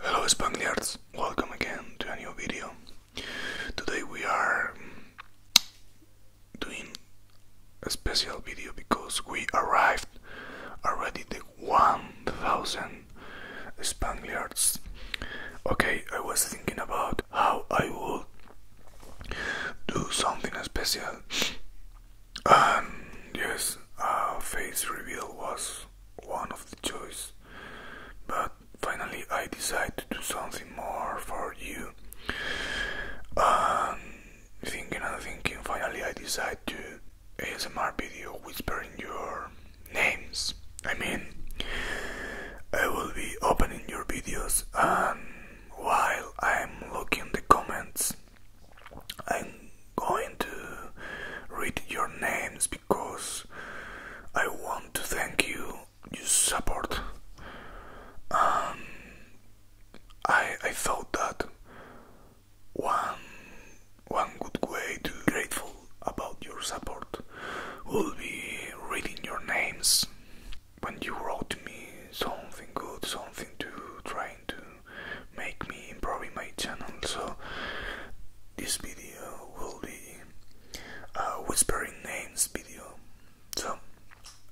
Hello Spangliards, welcome again to a new video. Today we are doing a special video because we arrived already the 1000 Spaniards. Okay, I was thinking about how I would do something special. And um, yes, a face reveal was one of the choice. But finally I decided to do something more for you. Um, thinking and thinking, finally I decided to ASMR video whispering your names. I mean, I will be opening your videos and um, while I'm looking the comments, I'm going to read your names because I want to thank you, your support. Um, I I thought that one one good way to be grateful about your support will be reading your names when you wrote me something good, something to trying to make me improve my channel. So this video will be a whispering names video. So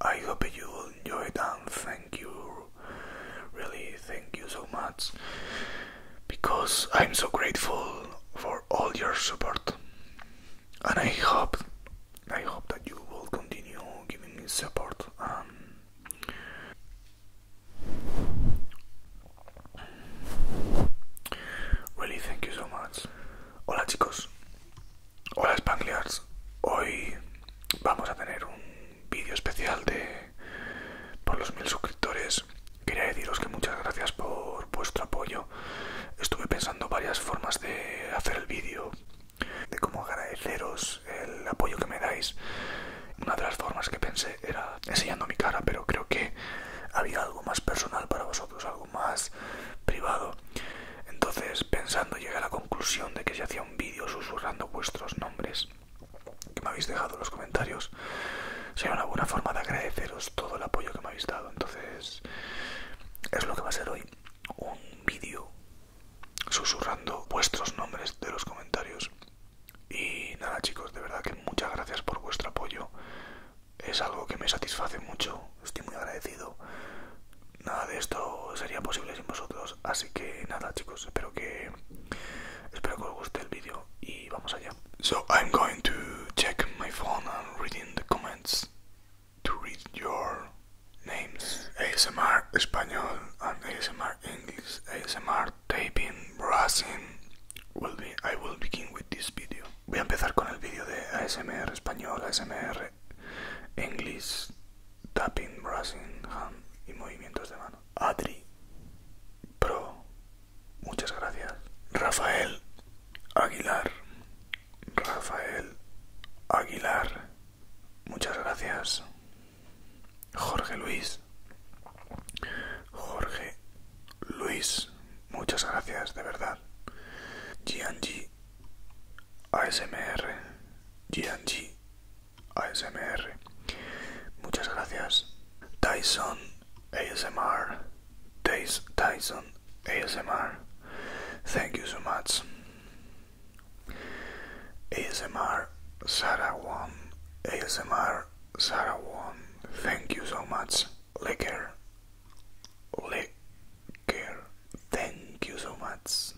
I hope you will enjoy it and thank you Really, thank you so much because I'm so grateful for all your support, and I hope, I hope that you will continue giving me support. Um, really, thank you so much. Hola, chicos. Hola, Spangliards. Hoy vamos a tener un vídeo especial de por los mil suscriptores. Quería deciros que muchas gracias por vuestro apoyo. Estuve pensando varias formas de hacer el vídeo, de cómo agradeceros el apoyo que me dais. Una de las formas que pensé era enseñando mi cara, pero creo que había algo más personal para vosotros, algo más privado. Entonces, pensando, llegué a la conclusión de que se hacía un vídeo susurrando vuestros nombres que me habéis dejado en los comentarios sería una buena forma de agradeceros todo el apoyo que me habéis dado entonces es lo que va a ser hoy un vídeo susurrando vuestros nombres de los comentarios y nada chicos de verdad que muchas gracias por vuestro apoyo es algo que me satisface mucho estoy muy agradecido nada de esto sería posible sin vosotros Así que nada chicos, espero que espero que os guste el vídeo y vamos allá. So I'm going to check my phone and reading the comments to read your names. ASMR español and ASMR English, ASMR taping, brushing. Will be, I will begin with this video. Voy a empezar con el vídeo de ASMR español, ASMR English tapping, brushing, hand y movimientos de mano. Adri, Pro, muchas gracias. Rafael Aguilar, Rafael Aguilar, muchas gracias. Jorge Luis, Jorge Luis, muchas gracias, de verdad. GNG ASMR, GNG ASMR. Muchas gracias. Tyson ASMR. Tyson ASMR. Thank you so much. ASMR Sarah Wan. ASMR Sarah Wan. Thank you so much. Licker. Care Thank you so much.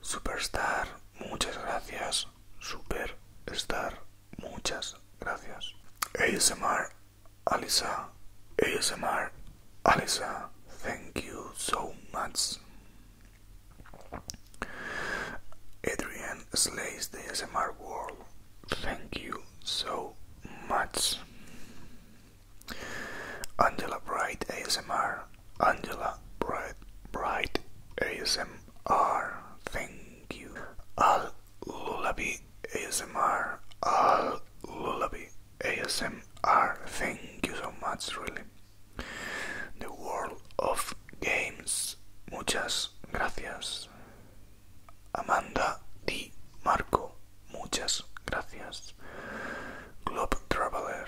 Superstar, muchas gracias. Superstar, muchas gracias. ASMR, Alisa. ASMR, Alisa. Thank you so much. Adrian slays the ASMR world. Thank you so much. Angela Bright ASMR. Angela Bright, Bright ASMR, thank you. Al Lullaby ASMR, Al Lullaby ASMR, thank you so much, really. The World of Games, muchas gracias. Amanda Di Marco, muchas gracias. Globe Traveler,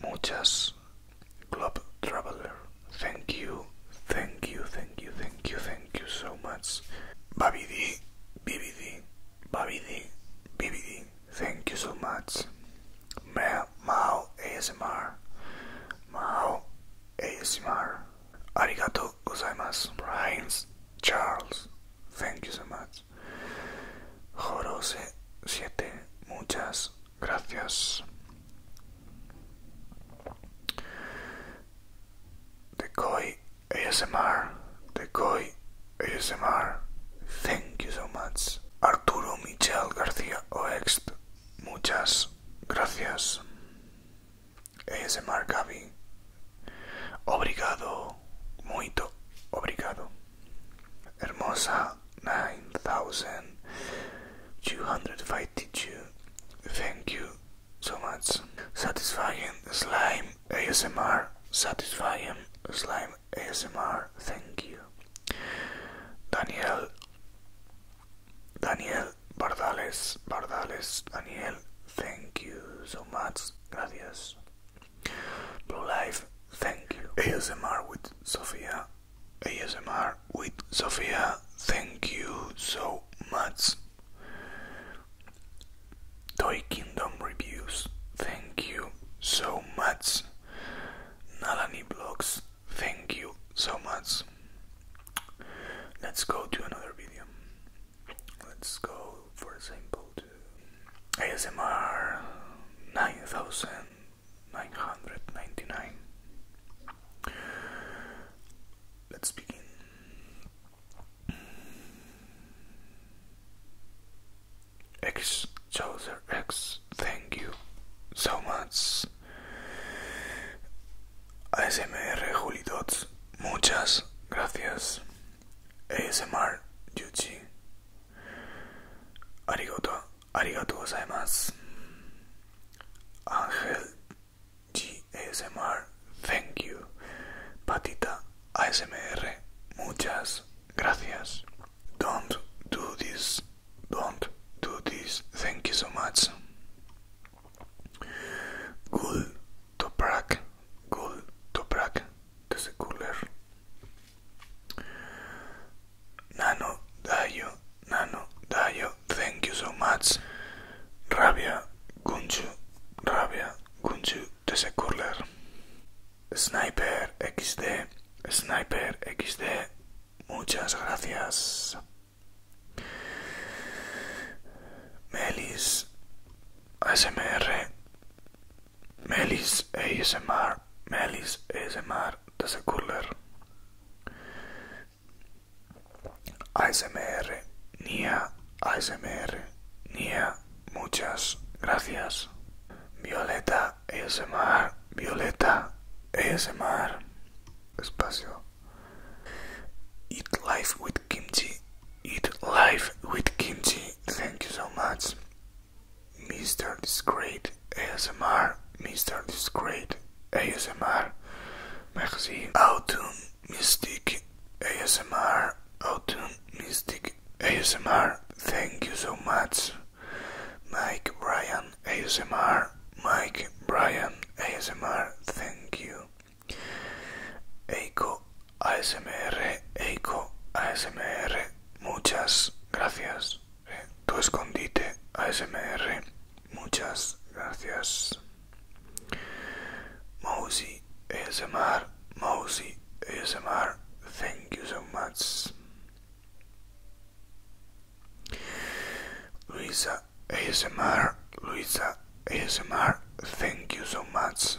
muchas Globe Traveler. Thank you, thank you, thank you, thank you, thank you so much. BabiD, BBD, BabiD, BBD, thank you so much. Ma Mao ASMR, Mao ASMR. Arigato gozaimasu. Brian Charles, thank you so much. Jorose 7, muchas gracias. Decoy ASMR, Decoy ASMR, thank you so much. Arturo Michel García Oext, muchas gracias. ASMR Gabi. obrigado, muito obrigado. Hermosa 9252. Thank you so much. Satisfying slime ASMR. Satisfying slime ASMR. Thank you. Daniel. Daniel Bardales. Bardales. Daniel. Thank you so much. Gracias. Blue Life, thank you. ASMR with Sofia. ASMR with Sofia, thank you so much. Toy Kingdom Reviews, thank you so much. Nalani Blogs, thank you so much. Let's go to another video. Let's go, for example, ASMR 9999. Let's begin. X Chaucer X, thank you so much. ASMR Juli Dots, muchas gracias. ASMR Yuchi, Arigato, arigato gozaimasu. Ángel GSMR, thank you. Patita ASMR, muchas gracias. Don't do this, don't do this, thank you so much. Gul Toprak, Gul Toprak, desde Cooler. Nano Dayo, Nano Dayo, thank you so much. Rabia Gunju, Rabia Gunju, Tese Curler. Sniper XD, Sniper XD, muchas gracias. Melis ASMR Melis ASMR, Melis ASMR desde Curler. ASMR, Nia, ASMR, Nia, muchas gracias. Violeta ASMR, Violeta ASMR. Espacio. Eat life with kimchi. Eat life with kimchi. Thank you so much. Mr. Discreet ASMR, Mr. Discreet ASMR magazine, Autumn Mystic ASMR, Autumn Mystic ASMR. Thank you so much, Mike Bryan ASMR, Mike Bryan ASMR. Thank you, Eiko ASMR, Eiko, ASMR, muchas gracias. Eh, tu escondite, ASMR, muchas gracias. Mousy, ASMR, Mousy, ASMR, thank you so much. Luisa, ASMR, Luisa, ASMR, thank you so much.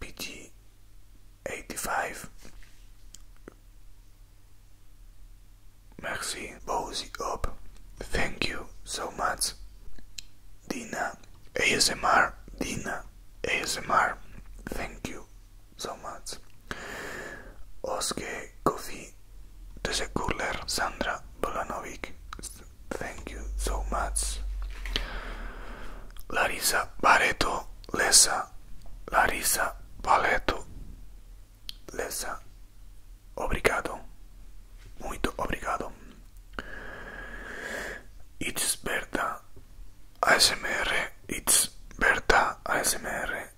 PG85 Merci, Bozy Op. Thank you so much. Dina ASMR. Dina ASMR. Thank you so much. Oske Kofi. Tese Kurler. Sandra Sandra Bolanovic. Thank you so much. Larisa Bareto Lesa. Larisa Bareto Lesa. Obrigado. Muito obrigado. It's Berta ASMR. It's Berta ASMR.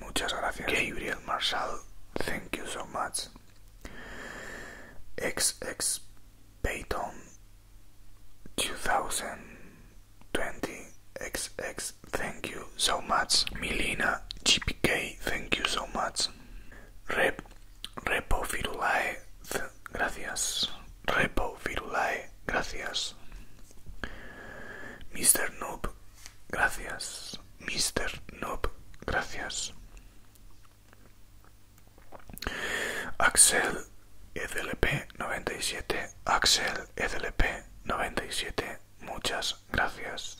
Muchas gracias. Gabriel Marshall. Thank you so much. XX Payton. 2020XX, thank you so much. Milena GPK, thank you so much. Rep, Repo Virulae, gracias. Repo Virulae, gracias. Mr. Noob, gracias. Mr. Noob, gracias. Axel EDLP 97, Axel EDLP 97, muchas gracias.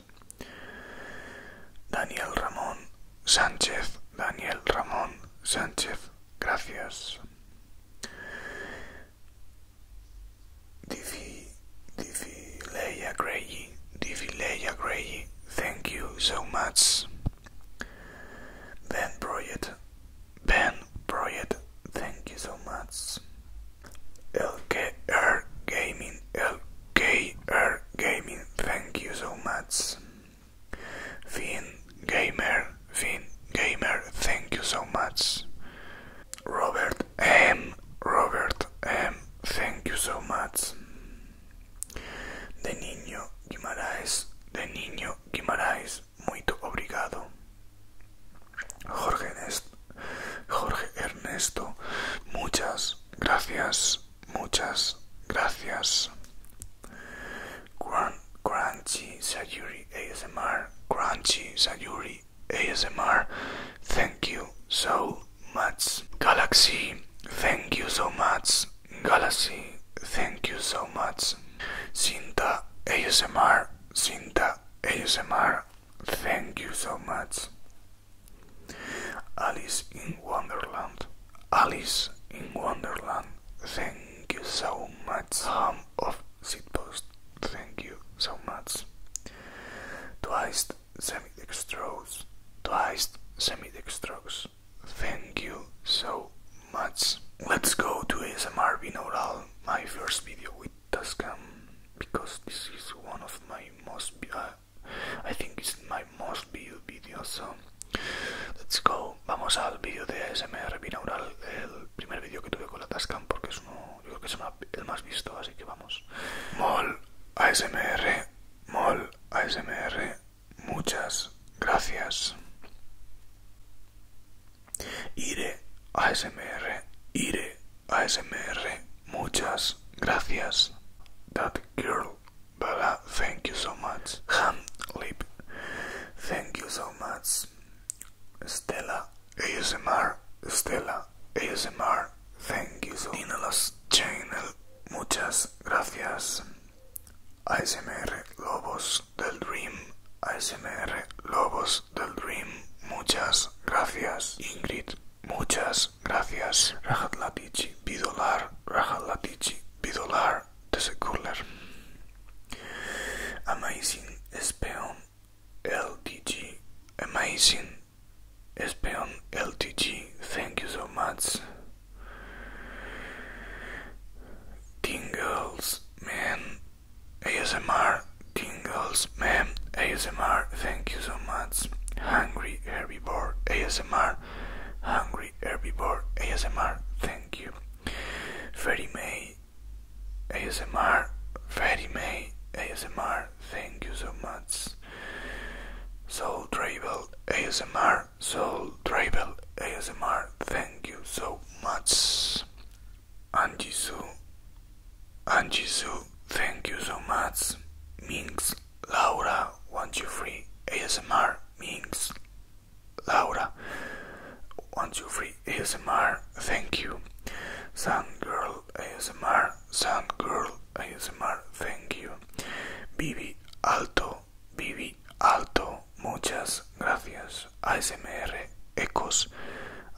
Daniel Ramón Sánchez, Daniel Ramón Sánchez, gracias. Divi, Divi Leia Grey, Divi Leia Grey, thank you so much. Ben Broyett. Ben Broyett, thank you so much. LKR Gaming, LKR Gaming, thank you so much. Finn Gamer, Finn Gamer, thank you so much. Robert M, Robert M, thank you so much. De niño, Guimaraes, de niño, Guimaraes, muy obrigado. Jorge, Jorge Ernesto, muchas gracias, muchas gracias. Crunchy Sayuri ASMR, Crunchy Sayuri ASMR, thank you so much. Galaxy, thank you so much. Galaxy, thank you so much. Cinta ASMR, Cinta ASMR, thank you so much. Alice in Wonderland, Alice in Wonderland, thank you so much. Home of Sitpost, thank you so much. Twice semi-dextrose, twice semi-dextrose. Thank you so much. Let's go to ASMR binaural, my first video with Tascam, because this is one of my most, uh, I think it's my most viewed video, so let's go. Vamos al video de ASMR binaural, el primer video que tuve con la Tascam, porque es uno, yo creo que es el más visto, así que vamos. Mol ASMR, Mol ASMR, Muchas gracias. Iré a IRE Iré a Muchas gracias. That girl. Bella, thank you so much. Ham Lip. Thank you so much. Stella ASMR. Stella ASMR. Thank you so much. Channel. Muchas gracias. ASMR Lobos del Dream, ASMR Lobos del Dream, muchas gracias Ingrid, muchas gracias Latichi, Bidolar, Latichi, Bidolar, Secular, Amazing Speon LTG, Amazing Speon LTG, thank you so much. Tingles Man ASMR Tingles Man ASMR Thank you so much Hungry Herbivore ASMR Hungry Herbivore ASMR Thank you Ferry May ASMR Ferry May ASMR Thank you so much Soul Drivel ASMR Soul Travel ASMR. Thank you so much. Angie Su. Angie Su. Thank you so much. Minx. Laura. Want you free ASMR. Minx. Laura. Want you free ASMR. Thank you. Sun Girl ASMR. Sun Girl ASMR. Thank you. Bibi Alto. Vivi Alto, muchas gracias. ASMR Ecos,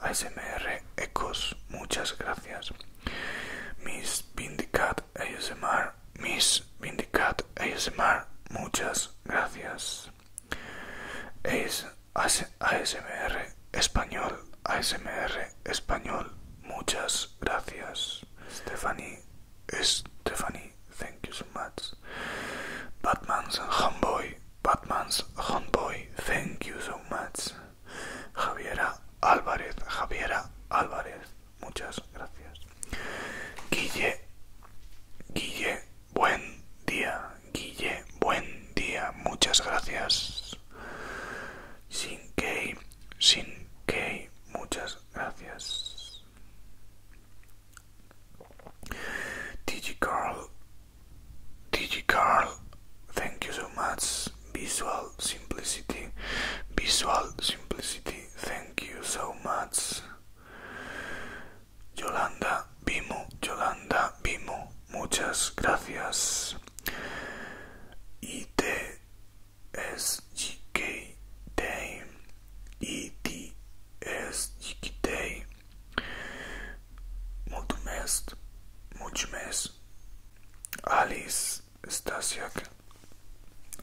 ASMR Ecos, muchas gracias. Miss Vindicat ASMR, Miss Vindicat ASMR, muchas gracias. ASMR Español, ASMR Español, muchas gracias. Stephanie Stephanie, thank you so much. Batman's Homeboy, Batman's Homeboy, thank you so much. Javiera Álvarez, Javiera Álvarez, muchas gracias. Guille, Guille, buen día, Guille, buen día, muchas gracias. Sin Key, sin Key, muchas gracias. Digicarl, Carl thank you so much. Visual simplicity, visual simplicity, thank you so much. Yolanda Vimo, Yolanda Vimo, muchas gracias. Y te S K Day E T S Day Mulțumesc Mulțumesc Alice Stasiak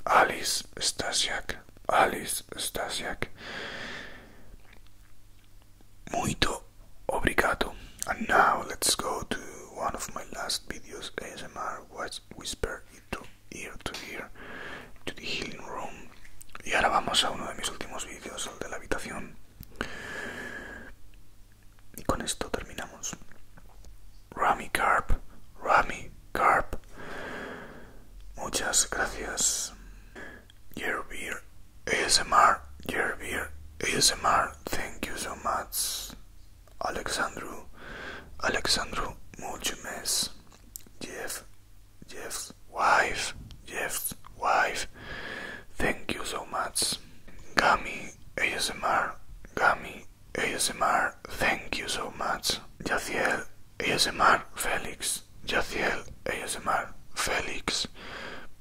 Alice Stasiak Alice Stasiak Muito obrigado and now let's go to one of my last videos ASMR was Whisper to ear to to the healing room. Y ahora vamos a uno de mis últimos vídeos, el de la habitación. Y con esto terminamos. Rami Carp, Rami Carp. Muchas gracias. Yerbeer ASMR, Yerbeer ASMR, thank you so much. Alexandru, Alexandru Multimes, Jeff, Jeff's wife, Jeff's wife. Thank you so much. Gami ASMR, Gami ASMR, thank you so much. Yaciel ASMR, Felix, Yaciel ASMR, Felix.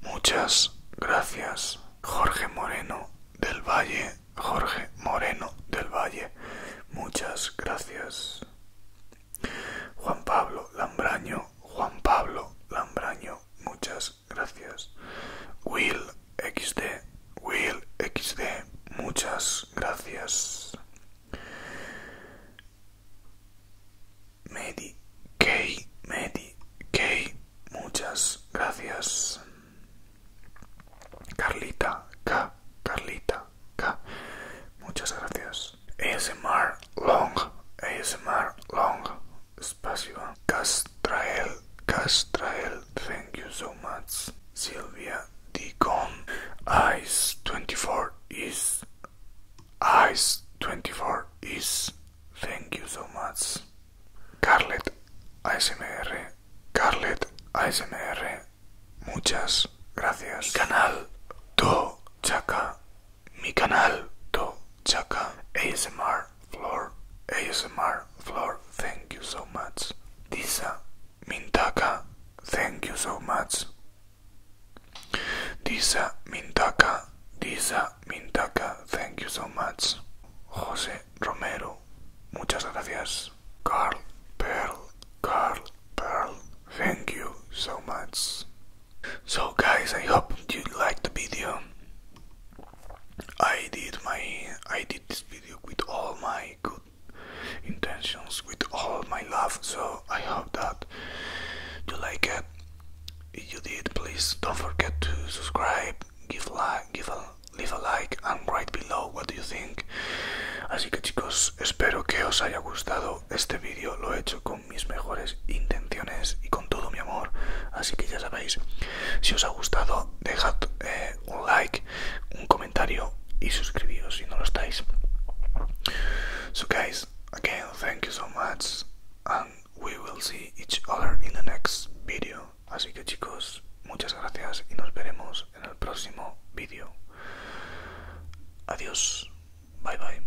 Muchas gracias. Jorge Moreno del Valle, Jorge Moreno del Valle, muchas gracias. Juan Pablo Lambraño, Juan Pablo Lambraño, muchas gracias. Will XD, Will XD, muchas gracias. Medi K, Medi K, muchas gracias. Carlita K, Carlita K. Muchas gracias. ASMR Long, ASMR Long, espacio. Castrael, Castrael, thank you so much. Silvia Dicon, Ice 24 is, Ice 24 is, thank you so much. Carlet ASMR, Carlet ASMR, muchas gracias. canal To Chaka, mi canal To Chaka, ASMR Floor, ASMR Floor, thank you so much. Disa Mintaka, thank you so much. Disa Mintaka, Disa Mintaka, thank you so much. José Romero. Muchas gracias. Carl, Pearl, Carl, Pearl. Thank you so much. So guys, I hope you liked the video. I did my I did this video with all my good intentions, with all my love. So I hope that you like it. If you did, please don't forget to subscribe, give like, give a leave a like and write below what do you think. Así que chicos, espero que os haya gustado este vídeo. Lo he hecho con mis mejores intenciones y con todo mi amor. Así que ya sabéis, si os ha gustado, dejad eh, un like, un comentario y suscribíos si no lo estáis. So guys, again, thank you so much and we will see each other in the next video. Así que chicos, muchas gracias y nos veremos en el próximo vídeo. Adiós. Bye bye.